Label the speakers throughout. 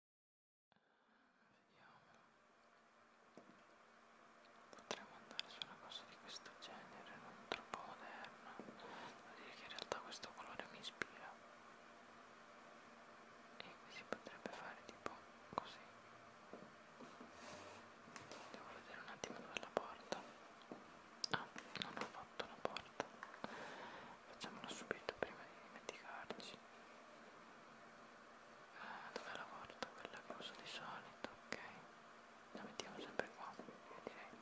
Speaker 1: Vediamolo. Potremmo andare su una cosa di questo genere, non troppo moderna. Devo dire che in realtà questo colore mi ispira. E qui si potrebbe fare tipo così. Devo vedere un attimo dove è la porta. Ah, non ho fatto la porta facciamolo subito prima di dimenticarci eh, dov'è la porta? quella che uso di solito ok la mettiamo sempre qua direi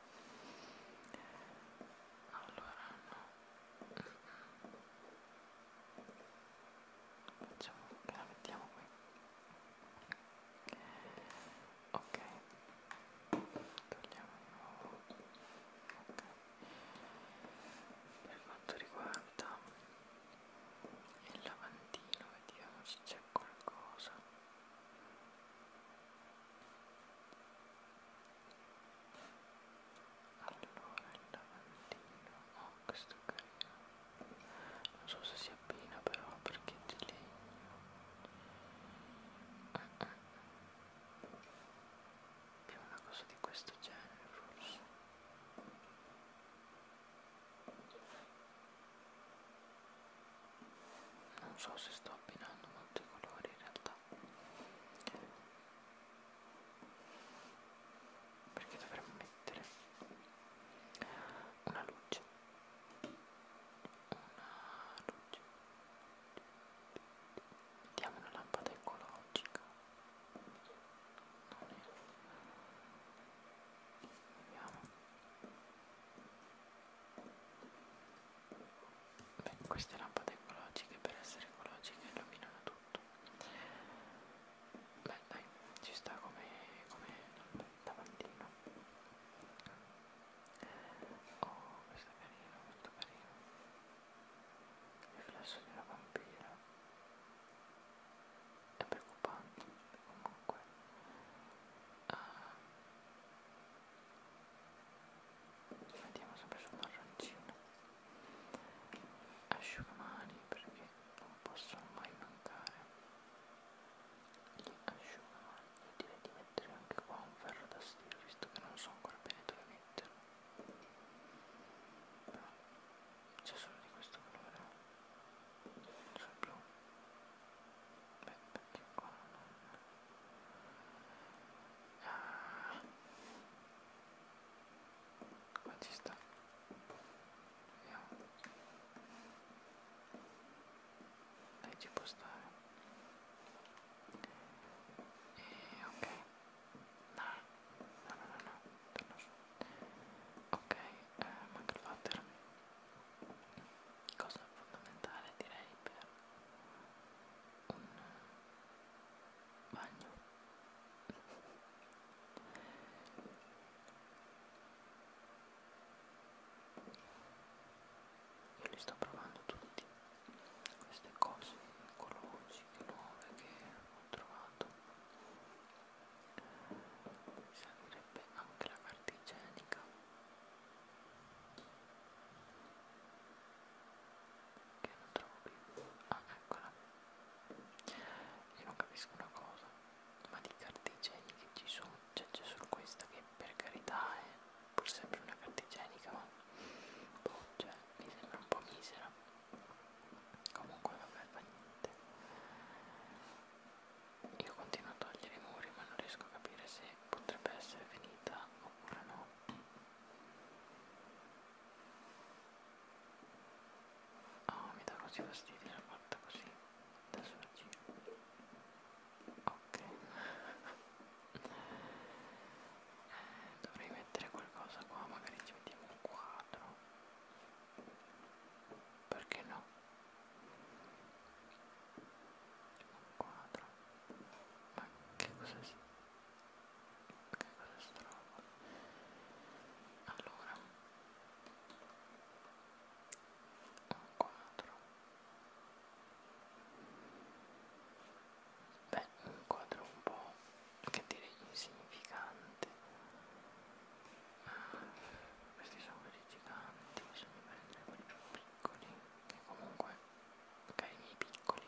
Speaker 1: allora no facciamo la mettiamo qui ok togliamo di nuovo ok per quanto riguarda il lavandino vediamo se c'è qualcosa allora il lavandino oh questo è carino non so se si abbina però perché è di legno ah, ah. più una cosa di questo genere forse non so se sto abbinando molti colori in realtà perché dovremmo mettere una luce una luce mettiamo una lampada ecologica Vediamo. Beh, queste lampade ecologiche per essere ecologiche illuminano tutto. Beh dai, ci sta come, come lavandino. Oh, questo è carino, molto carino riflesso di una vampira è preoccupante comunque uh, ah. mettiamo sempre sul marroncino asciugamani perché non possono mai mancare gli asciugamani io direi di mettere anche qua un ferro da stiro visto che non so ancora bene dove metterlo c'è solo di questo colore sul blu beh perché qua non ah. qua ci sta vediamo dai ci può stare e ok No, no, no, no, no. torna su. Ok, eh, manca il water. Cosa fondamentale direi per un bagno. Io li sto provando tutti, queste cose, i colori, che nuove che ho trovato servirebbe anche la carta igienica che non trovo più ah eccola io non capisco una cosa ma di carte igieniche ci sono cioè, c'è cioè, solo questa che per carità è pur sempre una carta igienica ma boh, cioè, mi sembra un po' misera comunque vabbè fa niente io continuo a togliere i muri ma non riesco a capire se potrebbe essere finita oppure no oh mi dà così fastidio la fatta così da sorgire ok eh, dovrei mettere qualcosa qua magari ci mettiamo un quadro perché no? Un quadro. Ma che cos'è? Che cos'è sta roba? Allora. Un quadro. Beh, un quadro un po' che dire insignificante ah, questi sono quelli giganti bisogna prendere quelli più piccoli che comunque magari i miei piccoli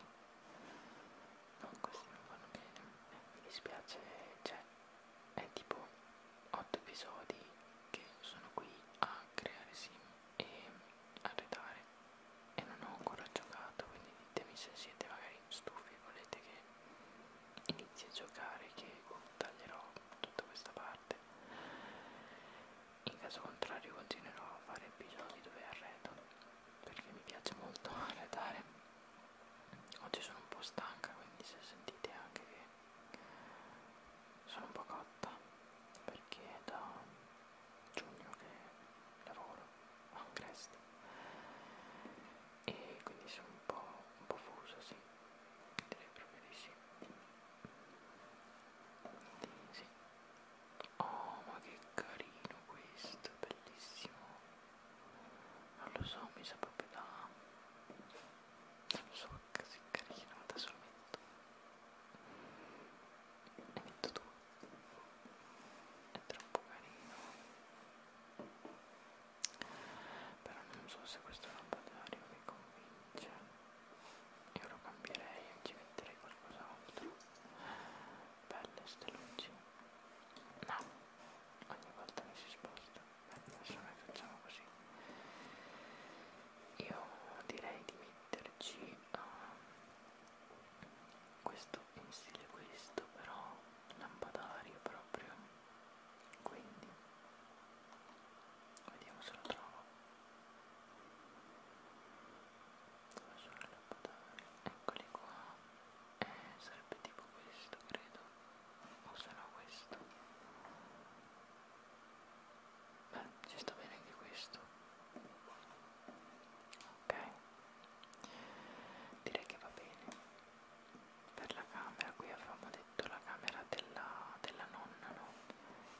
Speaker 1: no questi non vanno bene eh, mi dispiace cioè è tipo 8 episodi che sono qui a creare sim e a retare e non ho ancora giocato quindi ditemi se siete magari stufi e volete che inizi a giocare che taglierò tutta questa parte in caso contrario continuerò a fare episodi dove arredo perché mi piace molto arredare oggi sono un po' stanca quindi se sentite anche che sono un po' cotta perché è da giugno che lavoro a un e quindi sono un po', un po fuso, sì, direi proprio di sì. sì. Oh, ma che carino questo, bellissimo. Non lo so, mi sa proprio da... Non lo so, così carino, da solo metto. Ne metto due. È troppo carino però non so se questo lampadario mi convince io lo cambierei e ci metterei qualcos'altro belle ste luci no ogni volta che si sposta beh, adesso noi facciamo così io direi di metterci uh, questo in stile questo però lampadario proprio quindi vediamo se lo trovo dove sono i lampadario eccoli qua eh, sarebbe tipo questo credo o se no questo beh ci sta bene anche questo ok direi che va bene per la camera, qui avevamo detto la camera della, della nonna, no?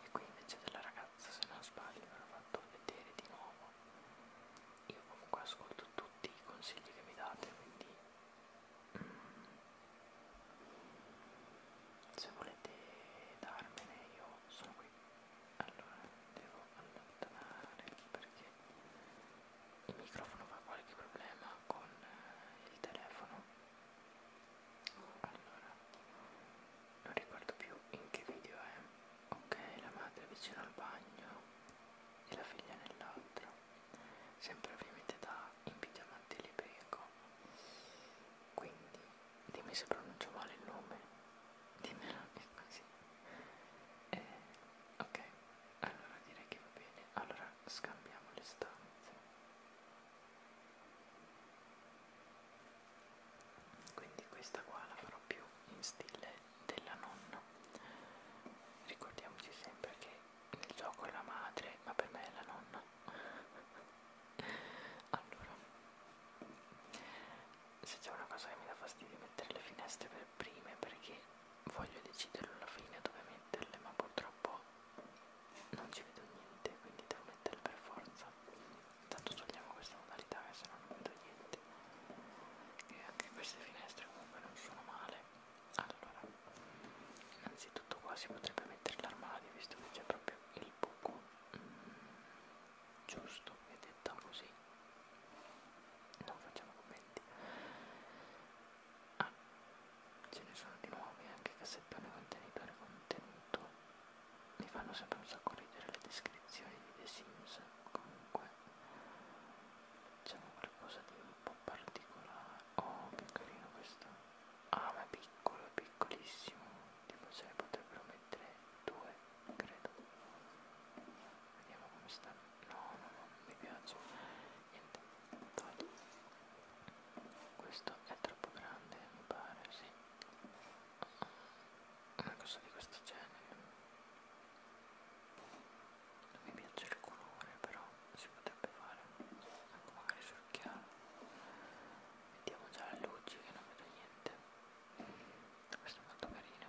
Speaker 1: E qui invece della ragazza, se non sbaglio, ve l'ho fatto vedere di nuovo. Io comunque ascolto tutti i consigli che mi date, quindi mm, se volete darmene io sono qui. Allora, devo allontanare perché il microfono fa qualche problema con eh, il telefono allora non ricordo più in che video è ok la madre vicino al bagno e la figlia nell'altro sempre ovviamente da in pigiamante libreco quindi dimmi se pronuncio male il nome dimmelo così eh, ok allora direi che va bene allora scambiamo le stanze quindi questa qua la farò più in stile della nonna ricordiamoci sempre che nel gioco è la madre ma per me è la nonna allora se c'è una cosa che mi dà fastidio è mettere le finestre per due prime perché voglio deciderlo alla fine dove metterle ma purtroppo non ci vedo niente quindi devo metterle per forza intanto togliamo questa modalità che se no non vedo niente e anche queste finestre comunque non sono male allora innanzitutto qua si potrebbe mettere l'armadio visto che c'è proprio il buco mm, giusto e detta così non facciamo commenti Ah, ce ne sono di nuovi anche cassettone contenitore contenuto. Mi fanno sempre un sacco ridere le descrizioni di The Sims. Comunque, diciamo qualcosa di un po' particolare. Oh, che carino questo! Ah, ma è piccolo, è piccolissimo. Tipo se ne potrebbero mettere due, credo. Vediamo come sta. No, no, no, non mi piace niente togli questo è troppo grande mi pare sì una cosa di questo genere non mi piace il colore però si potrebbe fare ecco magari sul chiaro mettiamo già le luci che non vedo niente questo è molto carino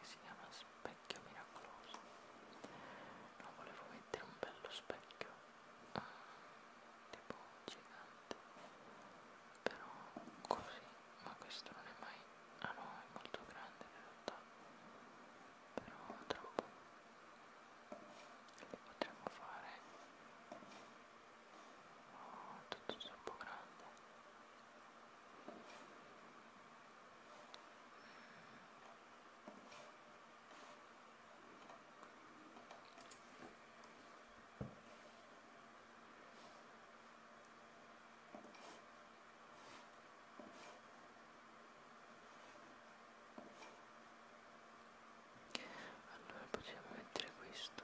Speaker 1: che si chiama specchio miracoloso non volevo mettere un bello specchio mm, tipo gigante però così ma questo non è mai ah no è molto grande in realtà però troppo potremmo fare oh, tutto troppo grande allora possiamo mettere questo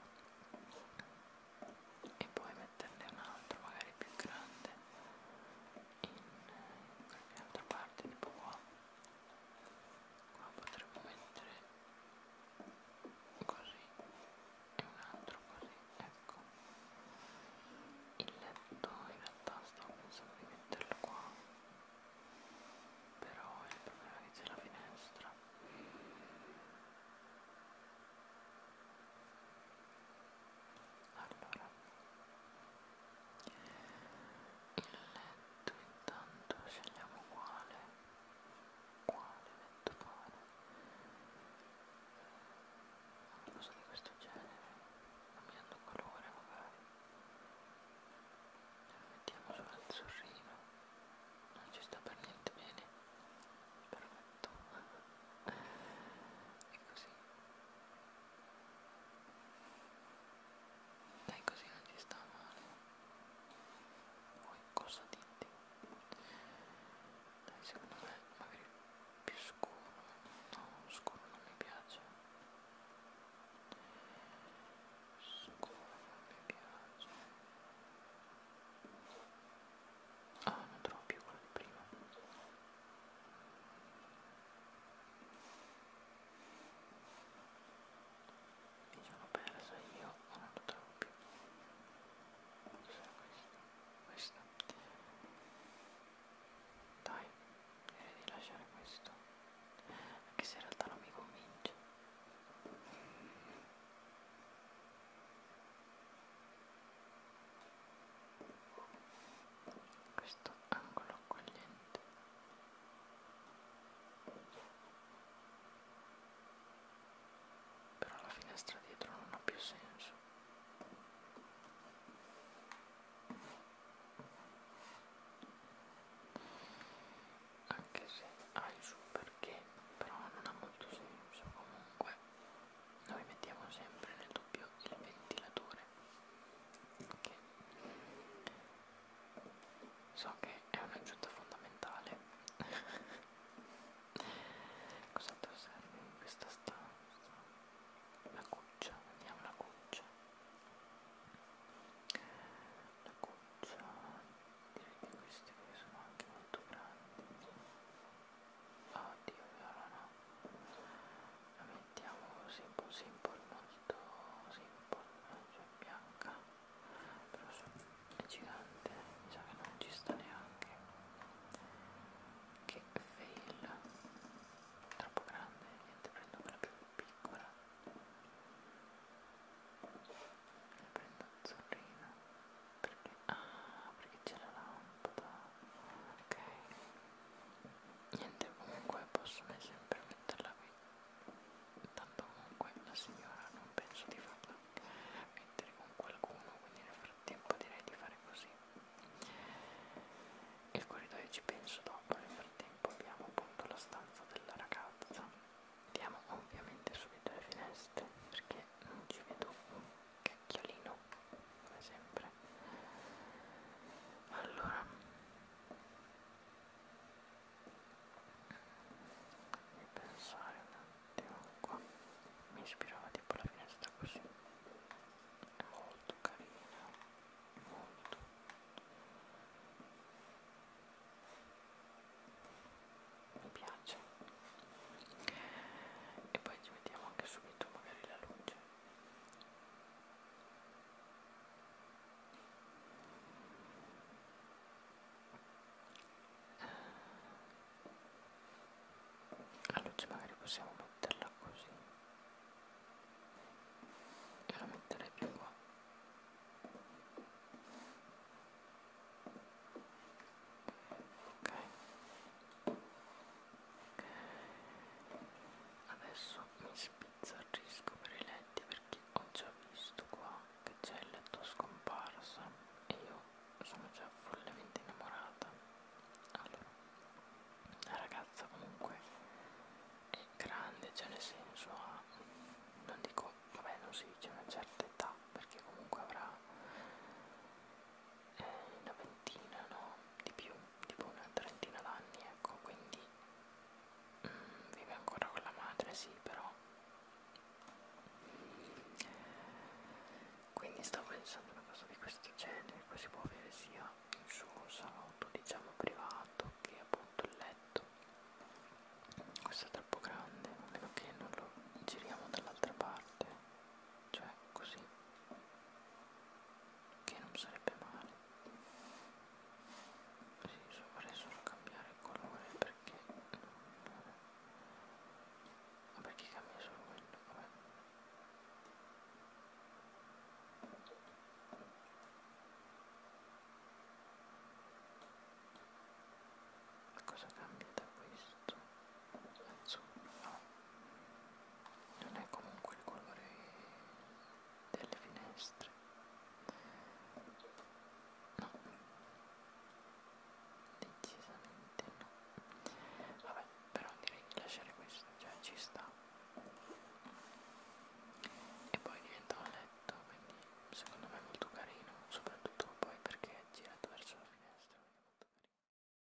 Speaker 1: e poi metterne un altro magari più grande in qualche altra parte tipo qua qua potremmo mettere così e un altro così ecco il letto in realtà stavo pensando di metterlo qua però il problema è che c'è la finestra allora il letto intanto scegliamo quale quale letto fare una cosa di questo genere cambiando colore magari lo mettiamo sul sorrino non ci sta per niente bene però fatto e così dai così non ci sta male poi cosa dite dai secondo me magari più scuro no scuro non mi piace scuro non mi piace Ah, non trovo più quella di prima. Mi sono persa io, non lo trovo più. Cos'era questo? Questo. Dai, direi di lasciare questo. Anche se in realtà non mi convince questo angolo accogliente però la finestra dietro non ha più senso anche se ha il suo perché però non ha molto senso comunque noi mettiamo sempre nel dubbio il ventilatore che so che è un'aggiunta fondamentale cos'altro serve in questa stanza la cuccia vediamo la cuccia la cuccia direi che queste sono anche molto grandi oddio viola no la mettiamo simple simple molto simple cioè bianca però è gigante mi sa che non ci sta neanche che fail troppo grande niente prendo quella più piccola la prendo azzurrina perché, ah, perché c'è la lampada ok niente comunque possono sempre metterla qui tanto comunque la signora non penso di farla mettere con qualcuno quindi nel frattempo direi di fare così il corridoio ci penso dopo nel frattempo abbiamo appunto la stanza della ragazza andiamo ovviamente subito alle finestre perché non ci vedo cacchiolino come sempre allora e pensare un attimo qua mi ispirava tipo la finestra così è molto carina molto mi piace e poi ci mettiamo anche subito detto magari la luce la luce magari possiamo metterla così e la metterei più qua ok adesso mi spizzarisco per i letti perché ho già visto qua che c'è il letto scomparso e io sono già follemente innamorata allora la ragazza comunque è grande cioè nel senso ha non dico vabbè non si dice una certa età perché comunque avrà eh, una ventina, no, di più, tipo una trentina d'anni, ecco, quindi mm, vive ancora con la madre, sì, però quindi stavo pensando una cosa di questo genere, poi si può avere sia il suo salotto, diciamo, privato che appunto il letto questo è troppo grande, a meno che non lo giriamo dall'altra parte cioè così che non sarebbe male sì, vorrei solo cambiare il colore perché non... perché cambia solo quello vabbè ma cosa cambia da questo? Penso, no. Non è comunque il colore delle finestre. No. Decisamente no. Vabbè, però direi di lasciare questo, cioè ci sta. E poi diventa un letto, quindi secondo me è molto carino, soprattutto poi perché è girato verso la finestra.